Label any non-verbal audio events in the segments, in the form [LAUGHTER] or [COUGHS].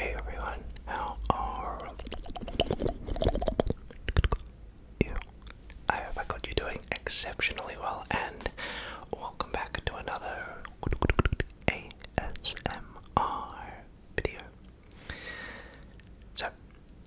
Hey everyone, how are you? I hope I got you doing exceptionally well and welcome back to another ASMR video. So,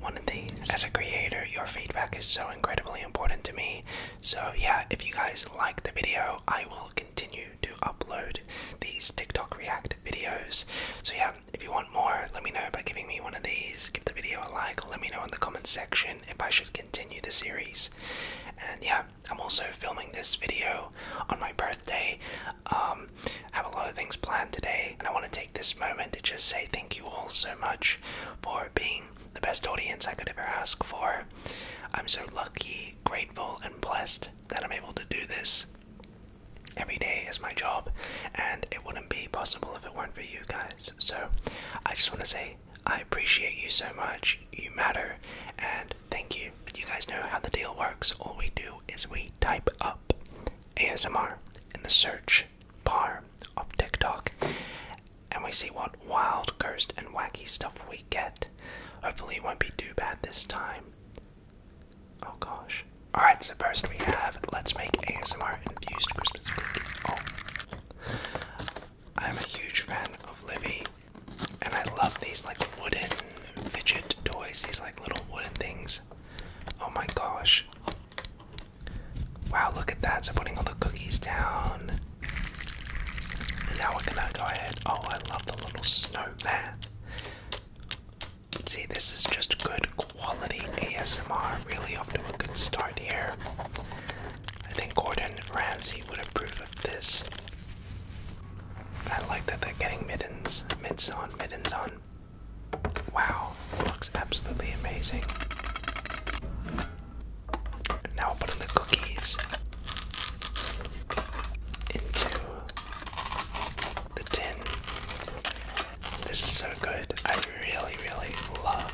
one of the as a creator your feedback is so incredibly important to me so yeah if you guys like the video i will continue to upload these tiktok react videos so yeah if you want more let me know by giving me one of these give the video a like let me know in the comment section if i should continue the series and yeah i'm also filming this video on my birthday um have a lot of things planned today and I want to take this moment to just say thank you all so much for being the best audience I could ever ask for. I'm so lucky, grateful, and blessed that I'm able to do this. Every day is my job, and it wouldn't be possible if it weren't for you guys. So I just want to say I appreciate you so much. You matter, and thank you. You guys know how the deal works. All we do is we type up ASMR in the search bar of TikTok and we see what wild, cursed, and wacky stuff we get. Hopefully, it won't be too bad this time. Oh gosh. Alright, so first we have Let's Make ASMR Infused Christmas Cookies. Oh. I'm a huge fan of Libby, and I love these like wooden fidget toys, these like little wooden things. Oh my gosh. Wow, look at that. So putting all the cookies down. And now we're gonna go ahead. Oh, I love the little snowman. See, this is just good quality ASMR. Really off to a good start here. I think Gordon Ramsay would approve of this. I like that they're getting mittens. Mitts on, mittens on. Wow, looks absolutely amazing. now I'll put in the cookies into the tin. This is so good. I really, really love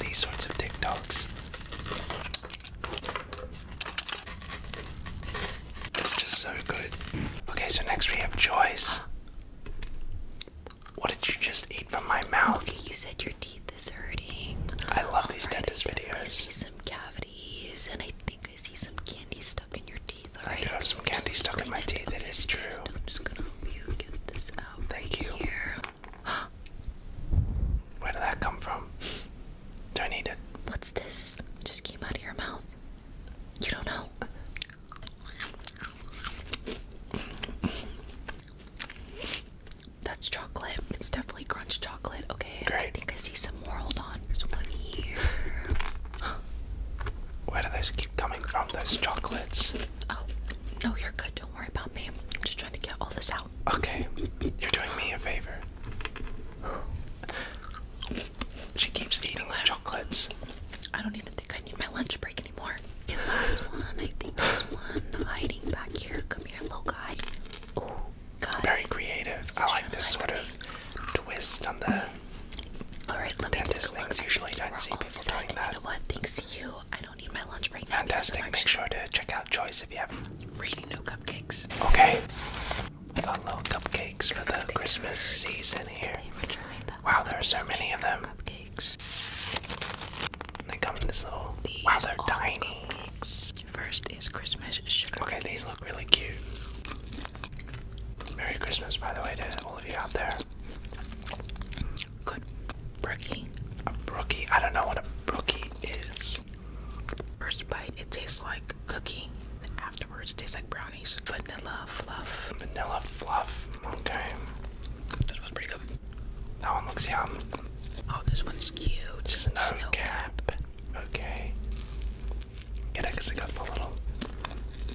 these sorts of TikToks. It's just so good. Okay, so next we have Joyce. What did you just eat from my mouth? you said your teeth is hurting. I love these dentist videos. I see some cavities, and I think I see some candy stuck in your teeth. I do have some candy stuck in my teeth. Okay, it is true. I'm just gonna help you get this out. Thank you. [GASPS] Where did that come from? Do I need it? What's this? Just came out of your mouth. You don't know. That's chocolate. It's definitely crunch chocolate. Okay. Great. I think I see some more. Hold on. There's one here. Where do those keep coming from, those chocolates? Oh, no, you're good. Don't worry about me. I'm just trying to get all this out. Okay. You're doing me a favor. She keeps eating the chocolates. I don't even think I need my lunch break anymore. last one. I think one hiding back here. Come here, little guy. Oh, God. Very creative. I like this sort of twist on the. Alright, let me Dentist things usually don't see people doing that. Thanks to you, I don't need my lunch break Fantastic. Make sure to check out Choice if you haven't. Really, no cupcakes. Okay. I got little cupcakes for the Christmas season here. Wow, there are so many of them. Cupcakes. They come in this little. These wow, they're tiny. First is Christmas sugar. Okay, these look really cute. Merry Christmas, by the way, to all of you out there. Good brookie. brookie? I don't know what a brookie is. First bite, it tastes like cookie afterwards. It tastes like brownies. Vanilla fluff. Vanilla fluff. Okay. This That one looks yum. Oh, this one's cute. Snow, Snow cap. cap. Okay. It actually got the little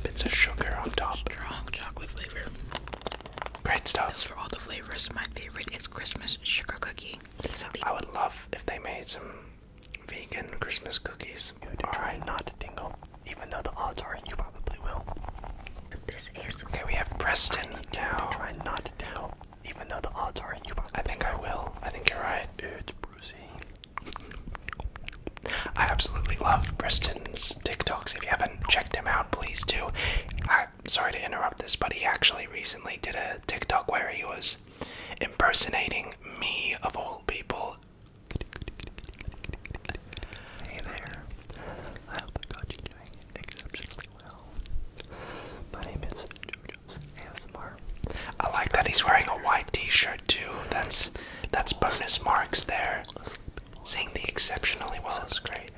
bits of sugar on top. Strong chocolate flavor. Great stuff. Those for all the flavors. My favorite is Christmas sugar cookie. So I would love if they made some vegan Christmas cookies. All right, not to tingle even though the odds are you probably will. But this is okay. We have Preston now. Try not to tell, even though the odds are you I think I will. I think you're right. It's Brucey. I absolutely love Preston's TikToks. If you haven't checked him out, please do. I'm sorry to interrupt this, but he actually recently did a TikTok where he was impersonating me of all people Hey there. I hope I got you doing exceptionally well. My name is JoJo's ASMR. I like that he's wearing a white t-shirt too. That's that's bonus marks there. Saying the exceptionally well That's great.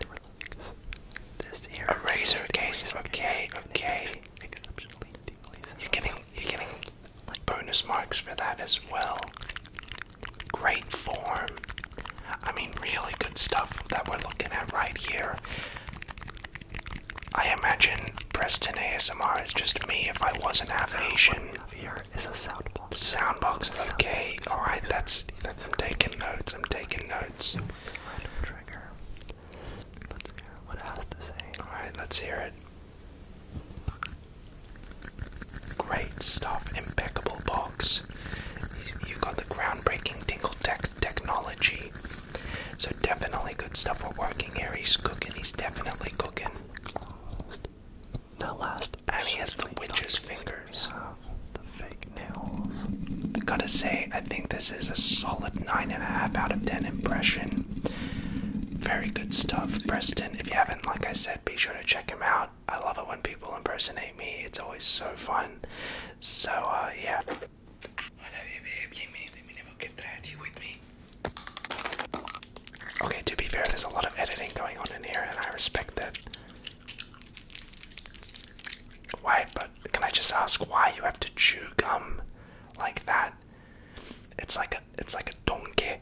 This here. A razor case is okay, okay. You're getting you're getting bonus marks for that as well. Great form. I mean, really good stuff that we're looking at right here. I imagine Preston ASMR is just me if I wasn't half Asian. Here is a soundbox. Soundbox. Okay. All right. That's. I'm taking notes. I'm taking notes. trigger. Let's hear what it to say. All right. Let's hear it. Great stuff, impeccable box. You got the groundbreaking Tingle Tech technology. So definitely good stuff. for working here. He's cooking. He's definitely cooking. Now last, and he has the witch's fingers. The fake nails. gotta say, I think this is a solid nine and a half out of ten impression. Very good stuff, Preston. If you have have like I said, be sure to check him out. I love it when people impersonate me, it's always so fun. So, uh, yeah. Okay, to be fair, there's a lot of editing going on in here, and I respect that. Why? but can I just ask why you have to chew gum like that? It's like a, it's like a donkey.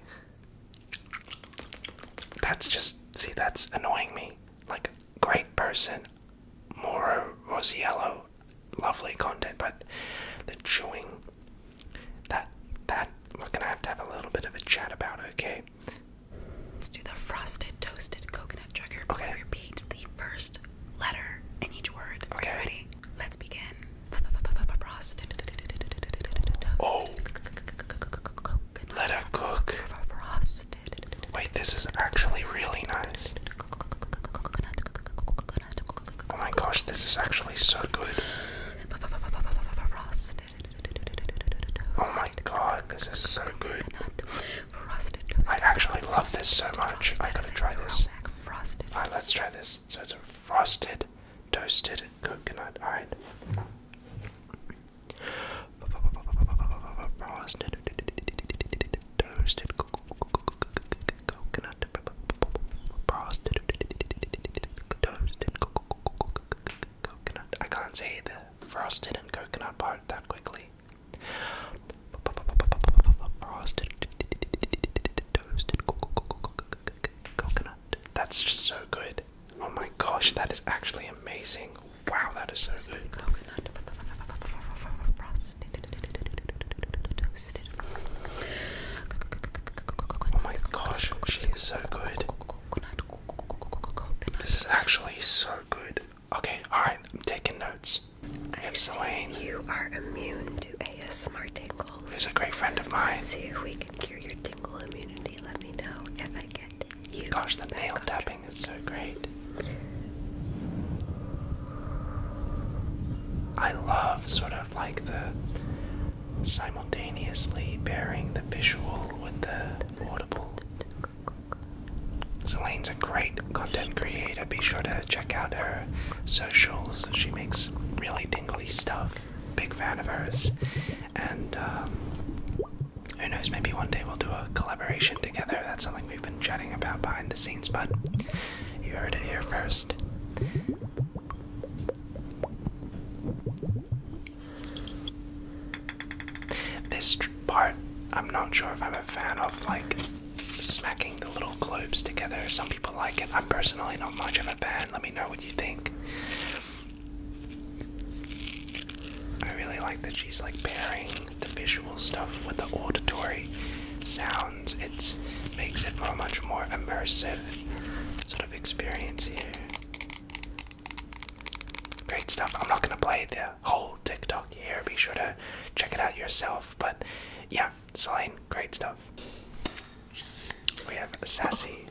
That's just see that's annoying me. Like great person, Moro Rosiello, lovely content, but the chewing that that we're gonna have to have a little bit of a chat about, okay? Let's do the frosted toasted coconut trigger. Okay. We repeat the first letter in each word. Okay. ready? Let's begin. Oh. Let it cook. Wait, this is actually really nice. Oh my gosh, this is actually so good. Oh my god, this is so good. I actually love this so much. I gotta try this. Alright, let's try this. So it's a frosted toasted coconut. Alright. Frosted toasted Frosted coconut. I can't say the frosted and coconut part that quickly. Frosted toasted coconut. That's just so good. Oh my gosh, that is actually amazing. Wow, that is so good. Oh my gosh, she is so good. This is actually so good. Okay, alright, I'm taking notes. I am saying You are immune to ASMR tingles tingles. Who's a great friend of mine. see if we can cure your tingle immunity. Let me know if I get you. Gosh, the nail tapping is so great. I love sort of like the simultaneously pairing the visual with the audible. Celine's a great content creator. Be sure to check out her socials. She makes really tingly stuff big fan of hers, and um, who knows? Maybe one day we'll do a collaboration together. That's something we've been chatting about behind the scenes, but you heard it here first. This part, I'm not sure if I'm a fan of, like smacking the little globes together. Some people like it. I'm personally not much of a fan. Let me know you think. I really like that she's like pairing the visual stuff with the auditory sounds. It makes it for a much more immersive sort of experience here. Great stuff. I'm not going to play the whole TikTok here. Be sure to check it out yourself. But yeah, Celine, great stuff. We have sassy.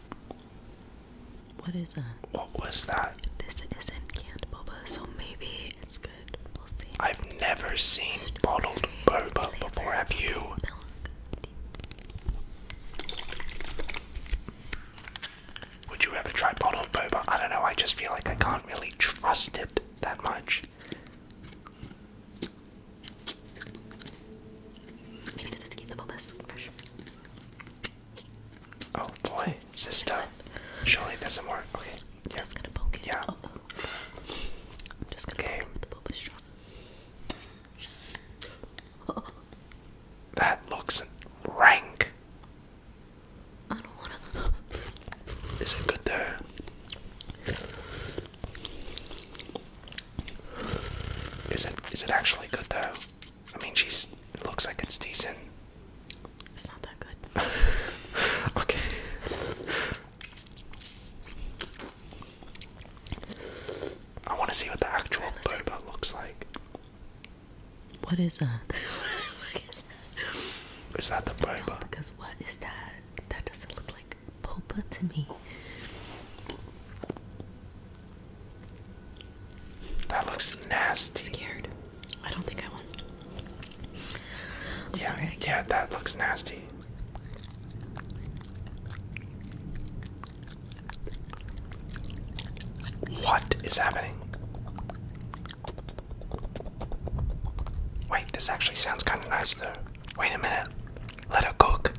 What is that? What was that? This isn't canned boba, so maybe it's good. We'll see. I've never seen bottled boba flavor. before, have you? Milk. Would you ever try bottled boba? I don't know, I just feel like I can't really trust it that much. Oh boy, sister! this it doesn't work. Okay. yeah. just gonna poke it. Yeah. Oh. I'm just gonna poke the bulbous straw. That looks rank. I don't wanna. Is it good there? Is it is it actually good though? I mean, she's. looks like it's decent. It's not that good. [LAUGHS] okay. I want to see what the actual right, boba looks like. What is that? [LAUGHS] what is that? Is that the boba? because what is that? That doesn't look like Popa to me. That looks nasty. Scared. I don't think I want. yeah, yeah, that looks nasty. What is happening? Wait, this actually sounds kind of nice though. Wait a minute. Let it cook.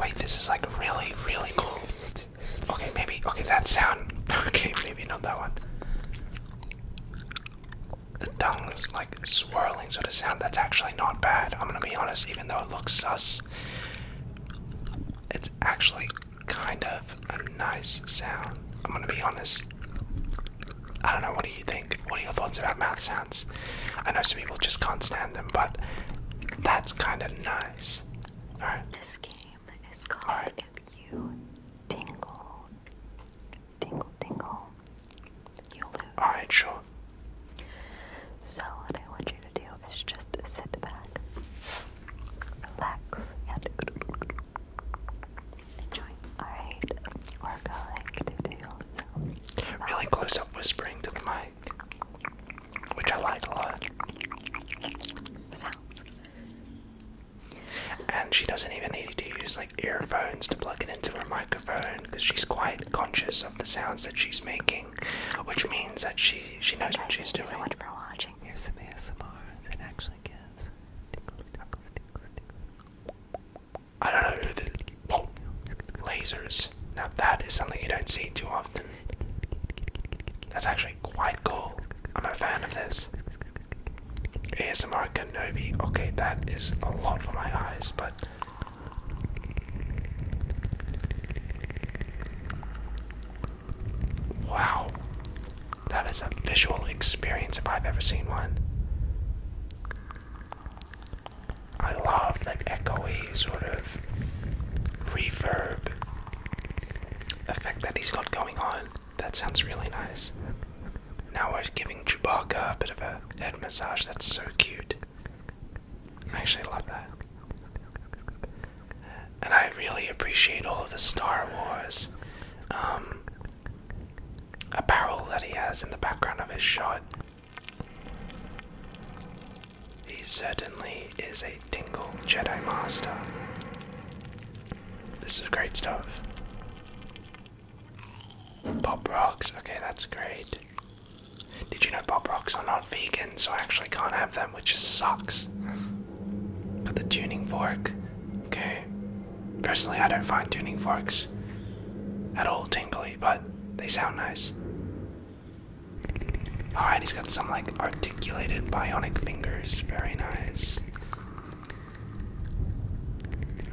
Wait, this is like really, really cool. Okay, maybe. Okay, that sound. [LAUGHS] Okay, maybe not that one. The tongue's like swirling so the sound. That's actually not bad. I'm gonna be honest, even though it looks sus, it's actually kind of a nice sound. I'm gonna be honest. I don't know, what do you think? What are your thoughts about mouth sounds? I know some people just can't stand them, but that's kind of nice. Alright. This game is called If You Tingle. Tingle, tingle. You lose. Alright, sure. So, what I want you to do is just sit back, relax, and enjoy. Alright, we're going to do some really close up whispering to the mic, which I like a lot. And she doesn't even need to use like earphones to plug it into her microphone because she's quite conscious of the sounds that she's making, which means that she she knows okay, what she's doing. So much for watching. Here's some ASMR that actually gives. I don't know who the lasers. Now that is something you don't see too often. That's actually quite cool. I'm a fan of this. ASMR Kenobi. Okay, that is a lot for my eyes, but wow, that is a visual experience if I've ever seen one. I love that echoey sort of reverb effect that he's got going on. That sounds really nice. Now we're giving Chewbacca a bit of a head massage. That's so cute. I actually love that. And I really appreciate all of the Star Wars um, a barrel that he has in the background of his shot. He certainly is a Dingle Jedi Master. This is great stuff. Bob rocks, okay, that's great. Did you know Bob rocks are not vegan, so I actually can't have them, which sucks. But the tuning fork, okay, Personally, I don't find tuning forks at all tingly, but they sound nice. Alright, he's got some like articulated bionic fingers. Very nice.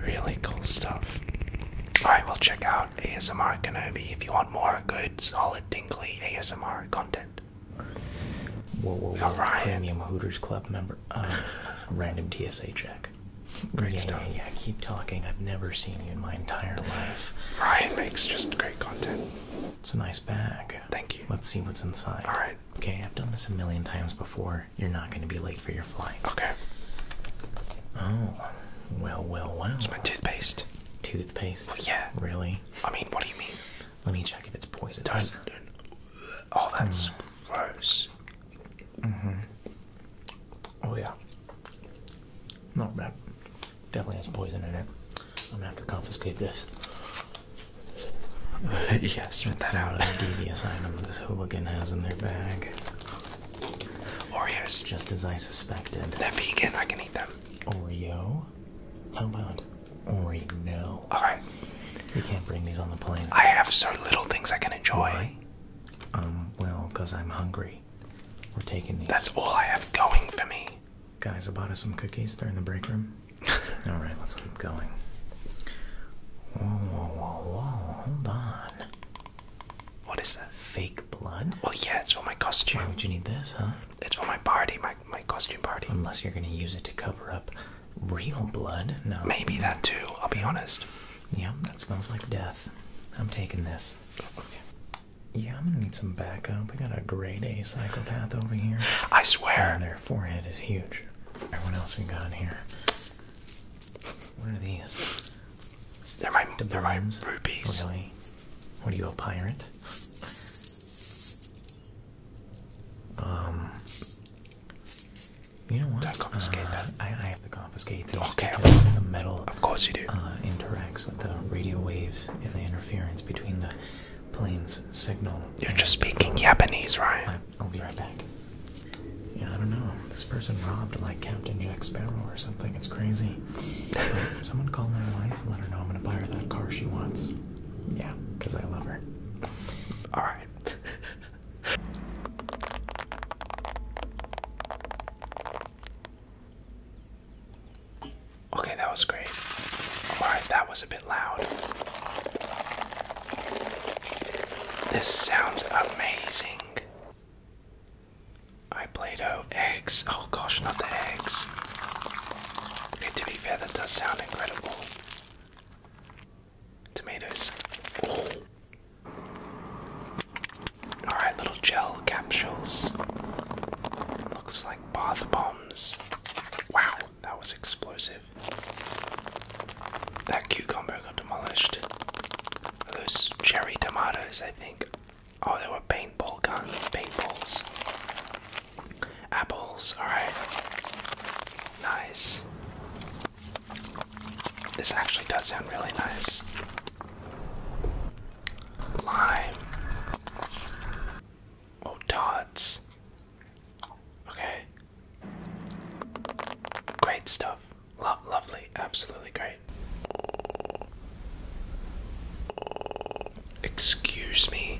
Really cool stuff. Alright, we'll check out ASMR Kenobi if you want more good, solid, tingly ASMR content. Whoa, whoa, whoa. Ryan. Hooters Club member. Uh, [LAUGHS] random TSA check. Great yeah, stuff. Yeah, yeah, keep talking. I've never seen you in my entire life. Ryan makes just great content. It's a nice bag. Thank you. Let's see what's inside. All right. Okay, I've done this a million times before. You're not going to be late for your flight. Okay. Oh, well, well, well. It's my toothpaste. Toothpaste? Oh, yeah. Really? I mean, what do you mean? Let me check if it's poisoned. Don't. Oh, that's hmm. gross. Mm-hmm. Oh yeah. Not bad. Definitely has poison in it. I'm gonna have to confiscate this. [LAUGHS] Yes, spit that out. The devious item this hooligan has in their bag. Oreos. Just as I suspected. They're vegan. I can eat them. Oreo. How about Oreo? All right. We can't bring these on the plane. I have so little things I can enjoy. Um, well, because I'm hungry. We're taking these. That's all I have going for me. Guys, I bought us some cookies They're in the break room. [LAUGHS] all right, let's keep going. Whoa, whoa, whoa, whoa, hold on. What is that? Fake blood? Well, yeah, it's for my costume. Why would you need this, huh? It's for my party, my, my costume party. Unless you're going to use it to cover up real blood? No. Maybe that too, I'll be honest. Yeah, that smells like death. I'm taking this. Yeah, I'm gonna need some backup. We got a grade A psychopath over here. I swear. their forehead is huge. Everyone else we got in here. What are these? They're my, they're my rupees. Really? What are you, a pirate? Um, you know what? Don't confiscate that. Uh, I, have to confiscate that. okay, because the metal. Of course you do. Uh, interacts with the radio waves and the interference between the plane's signal. You're just speaking Japanese, right? I, will be right back. Yeah, I don't know. This person robbed like Captain Jack Sparrow or something. It's crazy. [LAUGHS] someone call my wife and let her know I'm gonna buy her that car she wants. Yeah, because I love her. All right. [LAUGHS] okay, that was great. Alright, that was a bit loud. This sounds amazing. I played out eggs. Oh gosh, not the eggs. Okay, to be fair, that does sound incredible tomatoes. Alright, little gel capsules. Looks like bath bombs. Wow, that was explosive. That cucumber got demolished. Those cherry tomatoes, I think. Oh, there were paintball guns, paintballs. Apples, alright. Nice. This actually does sound really nice. Lime. Oh, Tots. Okay. Great stuff. Lo lovely. Absolutely great. Excuse me.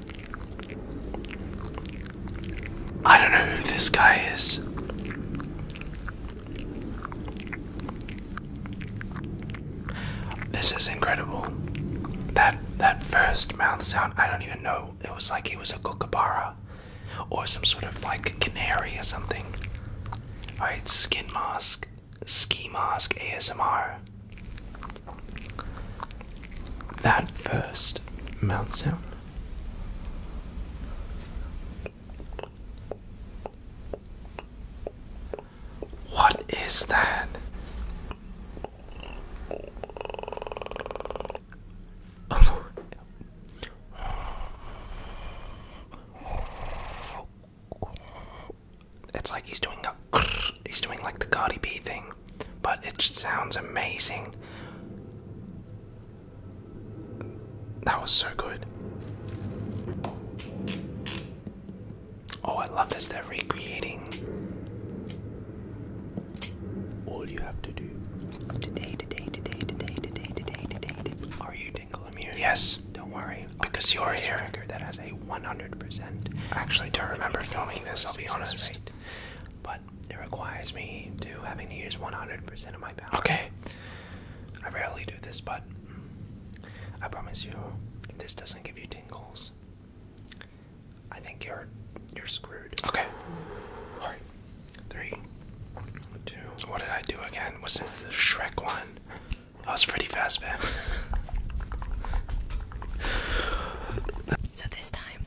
I don't know who this guy is. This is incredible. That that first mouth sound, I don't even know. It was like he was a kookaburra or some sort of like canary or something. Alright, skin mask, ski mask, ASMR that first mouth sound. What is that? it's like he's doing a [LAUGHS] he's doing like the Cardi B thing, but it just sounds amazing. That was so good. Oh, I love this. They're recreating. All you have to do Are you tingle immune? Yes. Don't worry, because you're here. Trigger that has a 100%. I Actually, don't remember filming this, I'll be honest. Rate, but it requires me to having to use 100% of my power. Okay. I rarely do this, but I promise you, if this doesn't give you tingles, I think you're you're screwed. Okay. All right. Three, two. What did I do again? Was this the Shrek one? That was pretty fast so this time,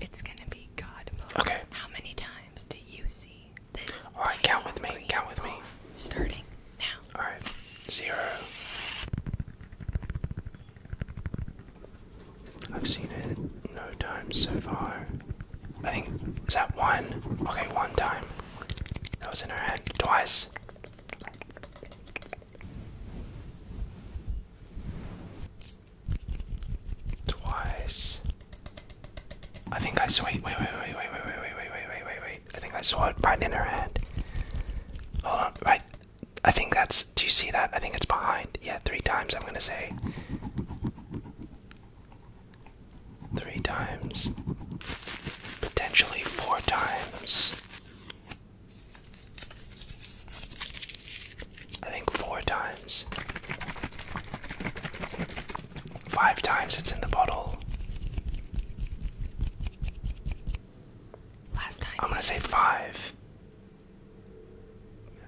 it's gonna be God mode. Okay. How many times do you see this? All right, count with me. Count with me. Starting now. All right. Zero. I've seen it no times so far. I think is that one? Okay, one time. That was in her head. Twice. Twice. I think I saw it. Wait, wait, wait, wait, wait, wait, wait, wait, wait, wait, wait, I think I saw it right in her hand. Hold on, right. I think that's. Do you see that? I think it's behind. Yeah, three times, I'm gonna say. Three times. Potentially four times. I think four times. Five times it's in the bottle. Last time. I'm gonna say five.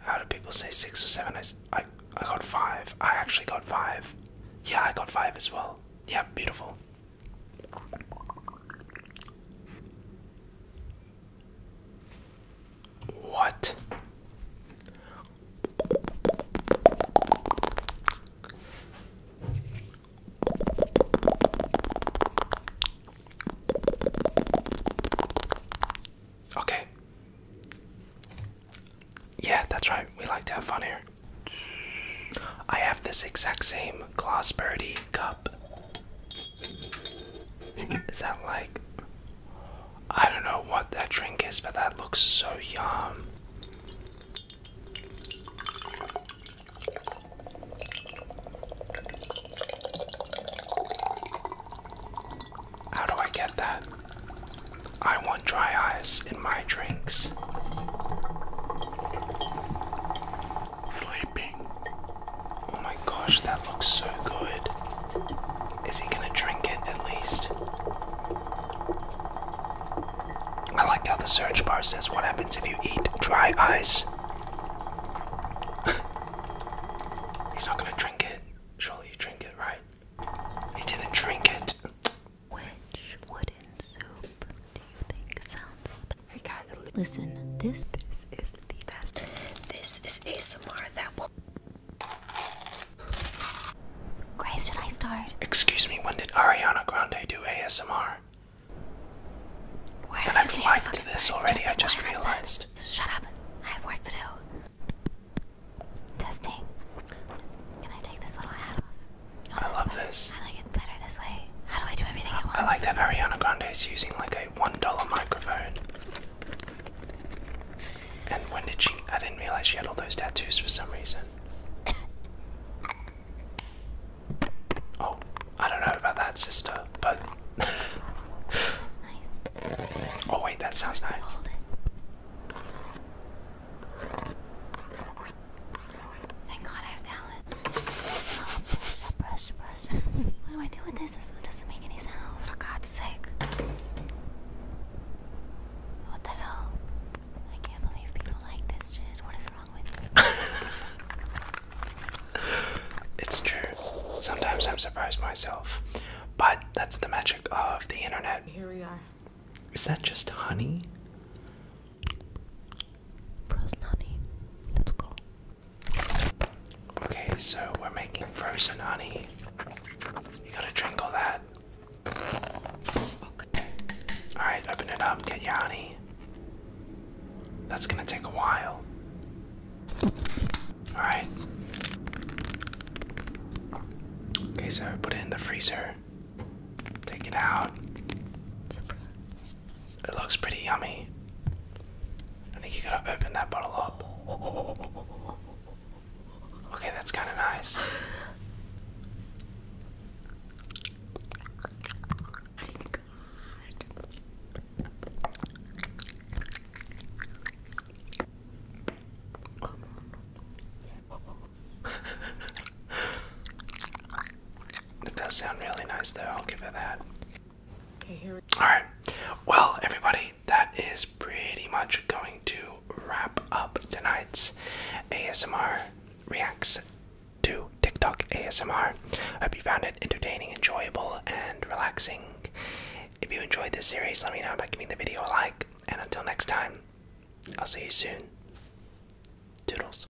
How do people say six or seven? I, I, I got five. I actually got five. Yeah, I got five as well. Yeah, beautiful. What? Okay. Yeah, that's right. We like to have fun here. I have this exact same Glossberry cup is that like. I don't know what that drink is, but that looks so yum. How do I get that? I want dry ice in my drinks. Sleep. Oh my gosh, that looks so good. Is he gonna drink it at least? I like how the search bar says what happens if you eat dry ice. [LAUGHS] He's not gonna drink it. Surely you drink it, right? He didn't drink it. Which wooden soup do you think sounds I listen? This this is the best. This is ASMR that will Grace, should I start? Excuse me, when did Ariana Grande do ASMR? Where and I've liked this already, I just realized. Shut up. I have work to do. Testing. Can I take this little hat off? I love this. I like it better this way. How do I do everything at once? I like that Ariana Grande is using like a $1 microphone. And when did she. I didn't realize she had all those tattoos for some reason. [COUGHS] Oh, I don't know about that, sister, but. [LAUGHS] that's nice. Oh, wait, that sounds nice. Thank God I have talent. brush, brush, brush. what do I do with this? This one doesn't make any sound. For God's sake. What the hell? I can't believe people like this shit. What is wrong with you? [LAUGHS] it's true. Sometimes I'm surprised myself. But that's the magic of the internet. Here we are. Is that just honey? Frozen honey. Let's go. Okay, so we're making frozen honey. You gotta drink all that. Alright, open it up, get your honey. That's gonna take a while. Alright. Okay, so put it in the freezer. Take it out. Surprise. It looks pretty yummy. I think you gotta open that bottle up. Okay, that's kind of nice. [LAUGHS] It does sound really nice, though. I'll give it that. All right. Well, everybody, that is pretty much going to wrap up tonight's ASMR reacts to TikTok ASMR. I hope you found it entertaining, enjoyable, and relaxing. If you enjoyed this series, let me know by giving the video a like. And until next time, I'll see you soon. Toodles.